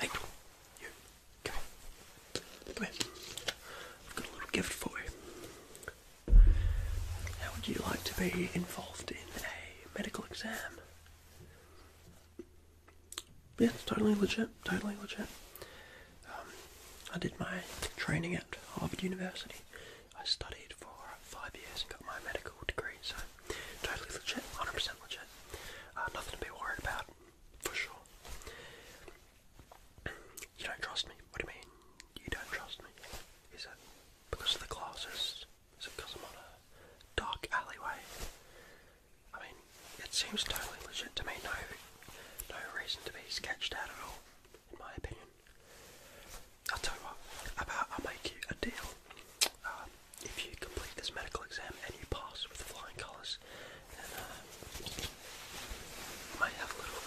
Hey, come here. Come here. I've got a little gift for you. How would you like to be involved in a medical exam? Yeah, it's totally legit, totally legit. Um, I did my training at Harvard University. I studied for five years and got my medical degree, so totally legit, 100% legit. Uh, nothing to be worried about, for sure. You don't trust me? What do you mean? You don't trust me? Is it because of the glasses? because I'm on a dark alleyway? I mean, it seems totally legit to me. No, no reason to be sketched out at all, in my opinion i tell you what, about i make you a deal. Um, if you complete this medical exam and you pass with flying colours, uh, I might have a little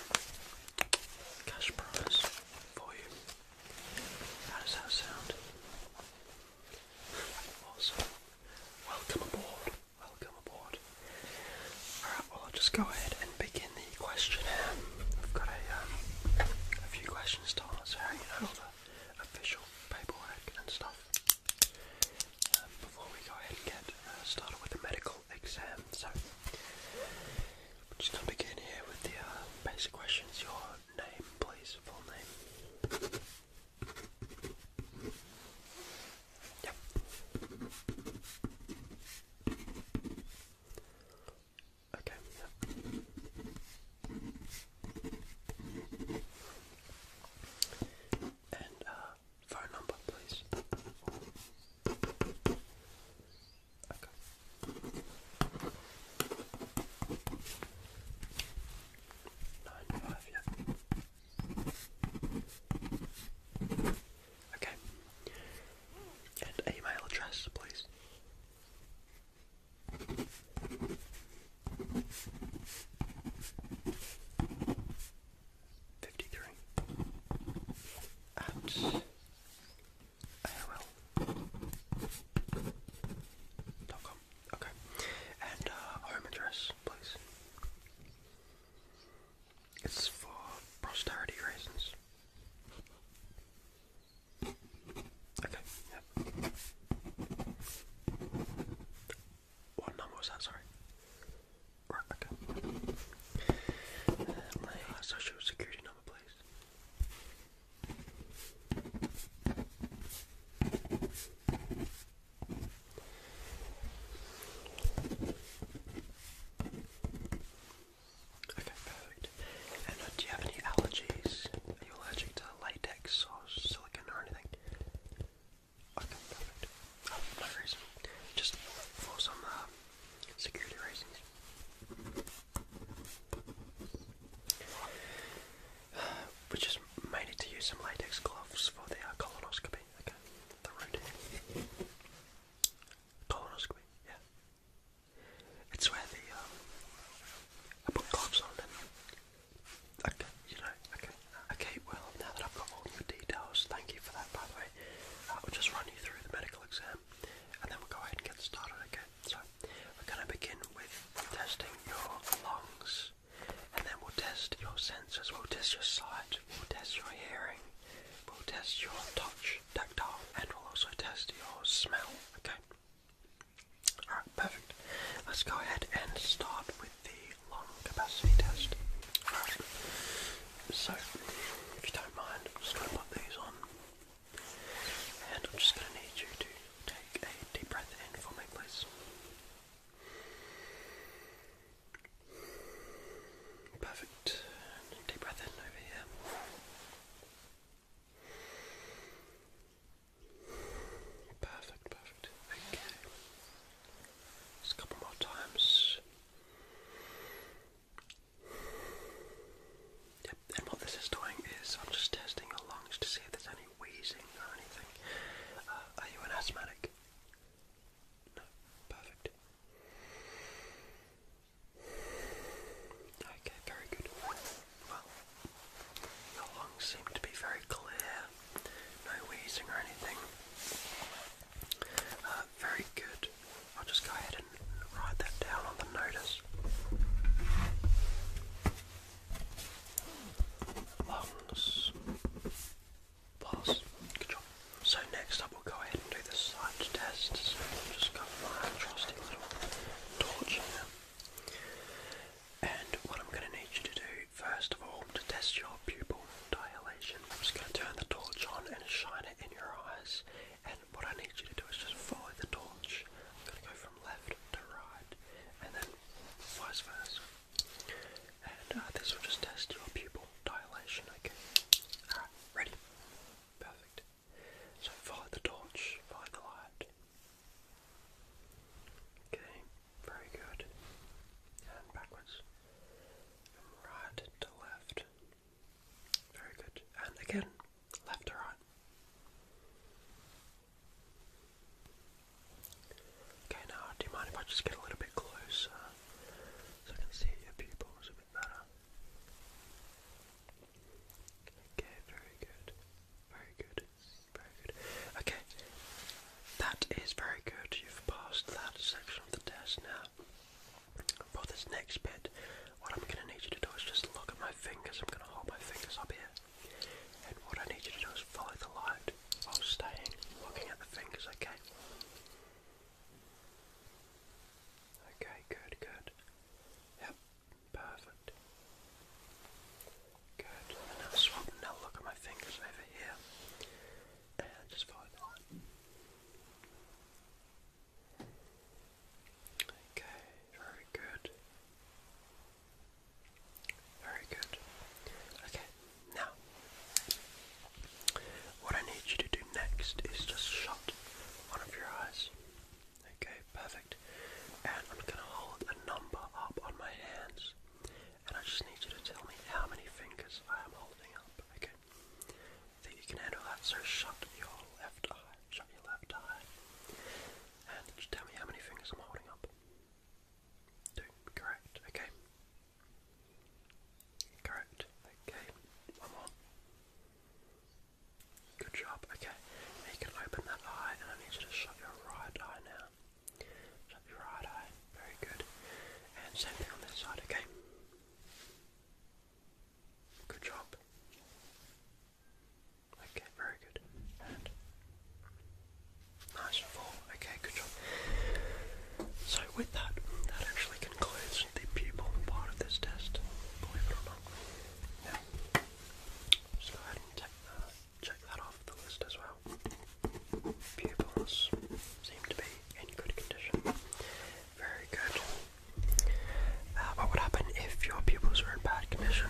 cash prize for you. How does that sound? Awesome. Welcome aboard. Welcome aboard. Alright, well, I'll just go ahead and begin questionnaire. I've got um, a, few questions to answer, you know, all the official paperwork and stuff. Um, before we go ahead and get uh, started with the medical exam, so we're just going to begin here with the uh, basic questions. Your name, please, full name. Yep. Okay, And uh, phone number please. Okay. Nine five, yeah. Okay. And email address, please. Fifty-three at AOL dot com. Okay, and uh, home address, please. It's for posterity reasons. Okay, What number was that, sorry? Right, my social security number, please. Okay, perfect. Uh, do you have any allergies? Are you allergic to latex or silicone or anything? Okay, perfect. Um, no reason. Just for some uh, security reasons. we just made it to use some latex gloves for the uh, colonoscopy. Okay, the routine. Colonoscopy, yeah. It's where the, um, I put gloves on and, okay, you know, okay. Okay, well, now that I've got all the details, thank you for that, by the way. Uh, I'll just run you through the medical exam, and then we'll go ahead and get started, okay? So, we're going to begin with testing your lungs, and then we'll test your senses, we'll test your sight, we'll test your hearing, We'll test your touch, tactile, and we'll also test your smell, okay? Alright, perfect. Let's go ahead and start with the lung capacity test. so if you don't mind, I'm just going to put these on. And I'm just going to need you to take a deep breath in for me, please. Perfect. Deep breath in over here. Perfect, perfect. Okay. a couple more times. and what this is doing is I'm just testing your lungs to see if there's any wheezing or anything. Uh, are you an asthmatic? No, perfect. Okay, very good. Well, your lungs seem to be very clear, no wheezing or anything. Uh, very good. I'll just go ahead and write that down on the notice. Lungs. So next up we'll go ahead and do the sight test. So I've just got my trusty little torch here. And what I'm going to need you to do, first of all, to test your pupil dilation, I'm just going to turn the torch on and shine it in your eyes. And what I need you to do is just follow the torch. I'm going to go from left to right, and then vice versa. And uh, this will just test your pupil dilation, okay? ready? Perfect. So follow the torch, follow the light. Okay, very good. And backwards. right to left. Very good. And again, left to right. Okay, now do you mind if I just get a little bit closer? so I can see your pupils a bit better. Okay, very good. Very good. Very good. Okay, that is very good. You've passed that section of the test now. For this next bit, what I'm going to need you to do is just look at my fingers. I'm going to hold my fingers up here. And what I need you to do is follow the light while staying looking at the fingers, okay? Okay, good, good. Yep, perfect. Good. now swap now look at my fingers over here. And just follow the line. Okay, very good. Very good. Okay, now, what I need you to do next is just shut one of your eyes. Okay, perfect. And I'm going to hold a number up on my hands, and I just need you to tell me how many fingers I am holding up. Okay, that you can handle that. So shut your left eye. Shut your left eye, and tell me how many fingers I'm holding up. Two, correct. Okay, Correct. Okay. One more. Good job. Okay. Now you can open that eye, and I need you to shut your right eye now. Shut your right eye. Very good. And same thing on this side. Okay. Good job. Okay, very good. And Nice and Okay, good job. So with that, that actually concludes the pupil part of this test, believe it or not. Now, just go ahead and check that off the list as well. Pupils seem to be in good condition. Very good. Uh, what would happen if your pupils were in bad condition?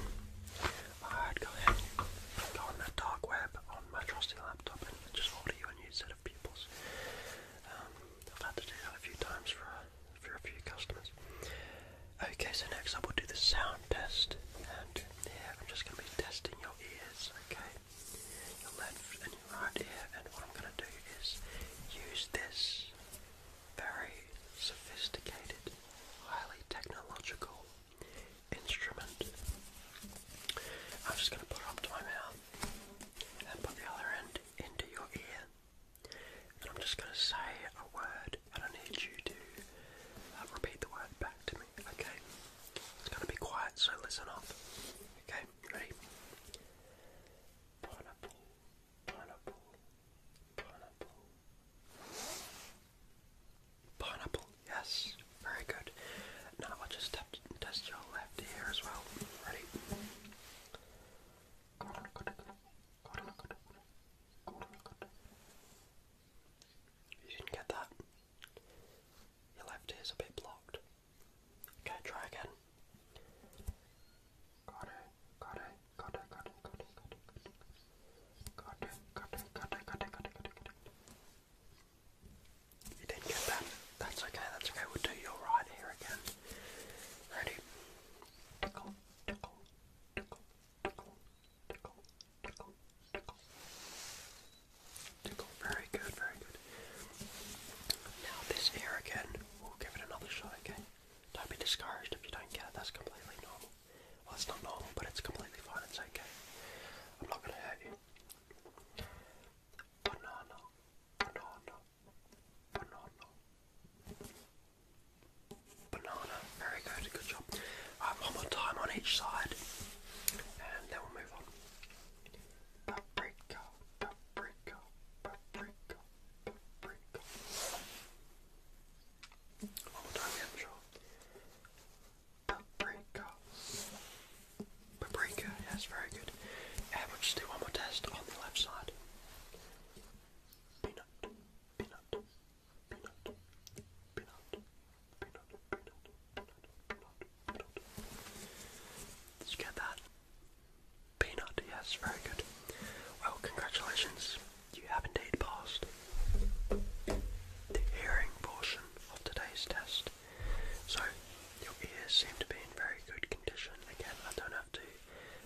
I'd go ahead go on that dark web on my trusty just order you a new set of pupils. Um, I've had to do that a few times for for a few customers. Okay, so next up we'll do the sound test, and yeah, I'm just going to be testing your ears, okay? Your left and your right ear, and what I'm going to do is use this very sophisticated, highly technological instrument. I'm just going to put it up to my mouth and put the other end into your ear. And I'm just going to say a word and I need you to uh, repeat the word back to me, okay? It's going to be quiet, so listen up. Okay, ready? Pineapple, pineapple, pineapple. Pineapple, yes. Very good. Now I'll just test your left ear as well. Ready? You didn't get that. Your left ear's a bit blocked. Okay, try again. Got it, got it, got it, got it, got it, got it, got you didn't get that. That's okay, that's okay. We'll do your right here again. Ready? Tickle, tickle, tickle, tickle, tickle, tickle, tickle. Tickle. Very good, very good. Now this ear again, we'll give it another shot, okay? Don't be discouraged if you don't get it, that's completely normal. Well, it's not normal, but it's completely fine, it's okay. I'm not gonna hurt you. Banana, banana, banana. Banana. Very good, good job. one more time on each side. And then we'll move on. Paprika, paprika, paprika, paprika. One more time, yeah, i Paprika. Paprika, yes, very good. we'll just do one more test on the left side. Peanut, peanut, peanut, peanut, peanut, peanut, peanut, peanut, peanut. Did you get that? Peanut, yes, very good. Well, congratulations. You have indeed passed the hearing portion of today's test. So, your ears seem to be in very good condition. Again, I don't have to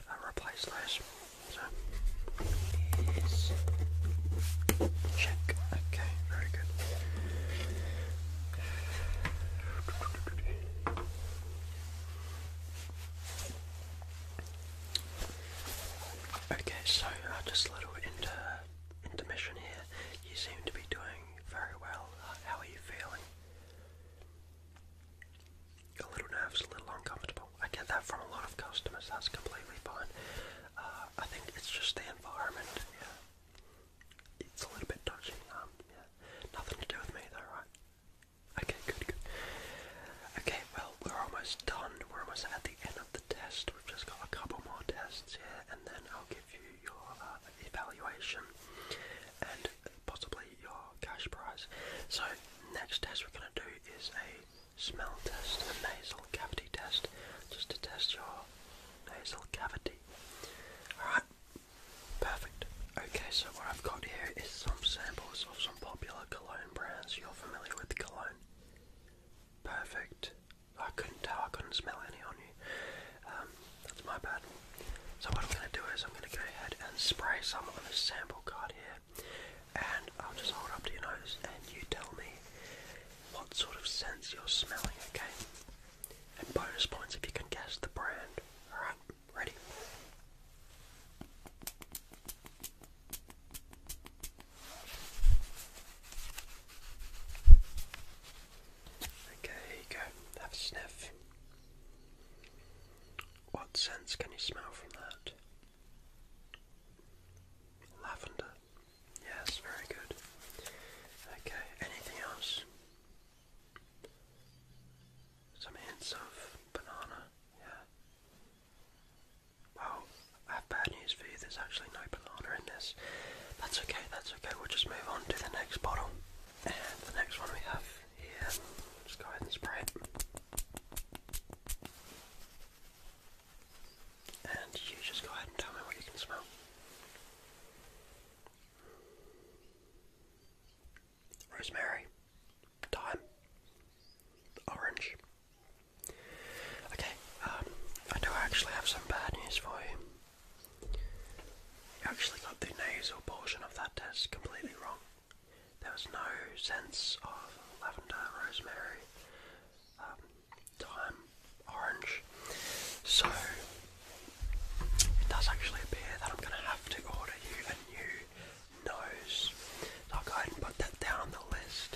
uh, replace those. So, ears check. Okay, very good. Okay, so uh, just a little inter intermission here. You seem to be doing very well. how are you feeling? A little nervous, a little uncomfortable. I get that from a lot of customers. That's completely fine. Uh, I think it's just the environment. Yeah, it's a little bit touching. Um, yeah, nothing to do with me though, right? Okay, good, good. Okay, well, we're almost done. We're almost at the end of the test. We've just got a couple more tests here, and then I'll give you your uh, evaluation and possibly your cash prize. So, next test we're going to do is a smell test, a nasal cavity test, just to test your nasal cavity. Alright, perfect. Okay, so what I've got here is some samples of some popular cologne brands. You're familiar with cologne? Perfect. I couldn't tell, I couldn't smell any on you. Um, that's my bad. So what I'm going to do is I'm going to go ahead and spray some on this sample card here. And I'll just hold up to your nose and you tell me what sort of sense you're smelling, okay? And bonus points if you can guess the brand. Alright, ready? Okay, here you go. Have a sniff. What sense can you smell from that? Lavender. Yes, very good. Okay, anything else? Some hints of banana, yeah. Well, I have bad news for you. There's actually no banana in this. That's okay, that's okay. We'll just move on to the next bottle. And the next one we have here, just go ahead and spray it. And you just go ahead and tell me what you can smell. Rosemary, thyme, orange, Okay, um, I do actually have some bad news for you. You actually got the nasal portion of that test completely wrong. There was no sense of lavender, rosemary, um, thyme, orange. So, it does actually appear that I'm going to have to order you a new nose. So go ahead and put that down the list.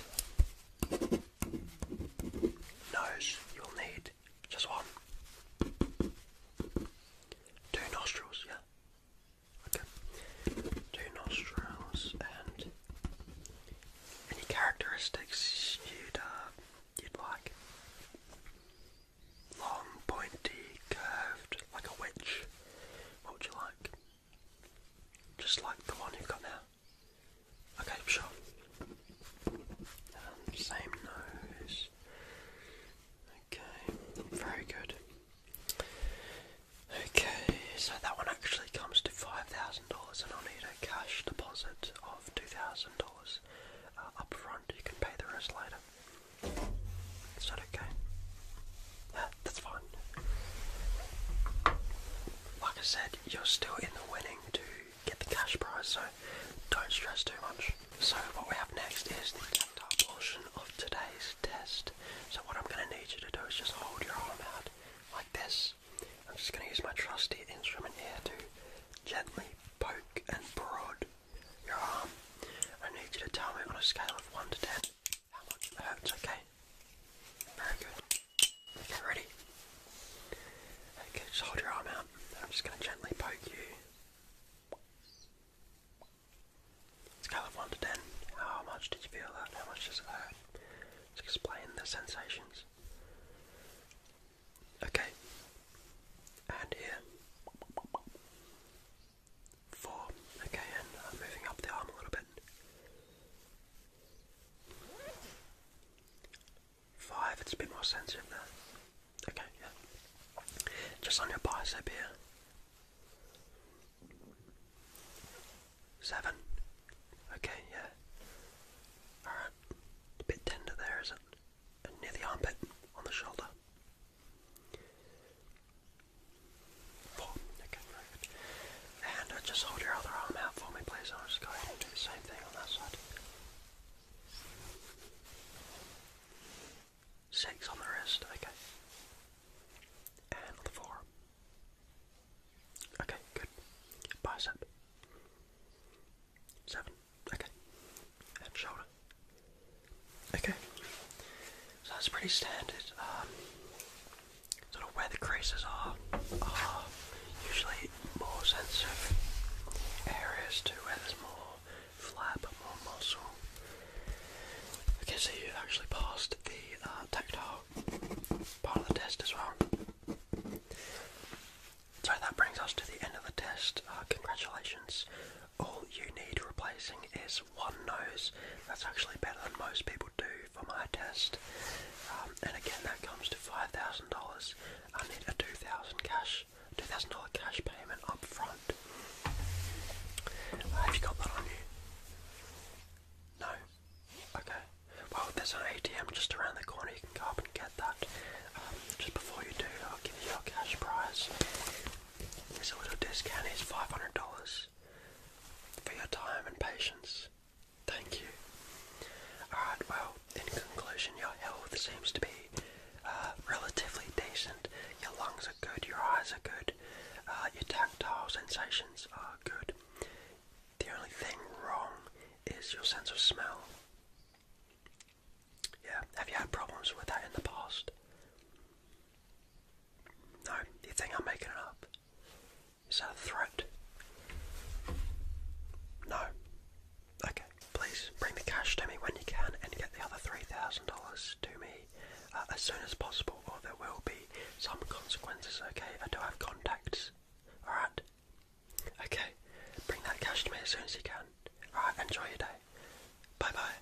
Nose, you'll need just one. Two nostrils, yeah. Okay. Two nostrils and any characteristics you'd uh, you'd like. Long, pointy, curved, like a witch. What would you like? Just like the one you've got now. Okay, sure. And um, same nose. Okay, very good. Okay, so that one actually comes to $5,000 and I'll need a cash deposit of $2,000 uh, up front. You can pay the rest later. Is okay? That's fun. Like I said, you're still in the winning to get the cash prize, so don't stress too much. So what we have next is the tactile portion of today's test. So what I'm going to need you to do is just hold your arm out like this. I'm just going to use my trusty instrument here to gently poke and prod your arm. I need you to tell me on a scale of 1 to 10 how much it hurts, okay? Very good. Okay, ready? Okay, just hold your arm out. I'm just going to gently poke you. Scale of 1 to 10. How much did you feel that? How much does it hurt? Just explain the sensations. Okay. And here. Four. Okay, and moving up the arm a little bit. Five, it's a bit more sensitive now. Okay, yeah. Just on your bicep here. Seven. Okay, yeah. Alright. A bit tender there, is it? near the armpit, on the shoulder. Four. Okay, good. And uh, just hold your other arm out for me, please. I'll just go ahead and do the same thing on that side. Six on the wrist, okay. And the forearm. Okay, good. Bicep. Seven, okay. And shoulder. Okay, so that's pretty standard. Um, sort of where the creases are usually more sensitive areas to where there's more flap, more muscle. Okay, so you actually passed the uh, tactile part of the test as well. So that brings us to the end of the test. Uh, congratulations. All you need replacing is one nose. That's actually better than most people do for my test. Um, and again, that comes to $5,000. I need a $2,000 cash, $2,000 cash payment up front. Uh, have you got that on you? No? Okay. Well, there's an ATM just around the corner. You can go up and get that. Um, just before you do, I'll give you your cash prize. There's a little discount. It's $500 for your time and patience. Thank you. Alright, well, in conclusion, your health seems to be uh, relatively decent. Your lungs are good, your eyes are good, uh, your tactile sensations are good. The only thing wrong is your sense of smell. Yeah, have you had problems with that in the past? No, you think I'm making it up? Is that a threat? No. Okay, please bring the cash to me when you can and get the other $3,000 to me uh, as soon as possible, or there will be some consequences, okay? I do have contacts, alright? Okay, bring that cash to me as soon as you can. Alright, enjoy your day. Bye bye.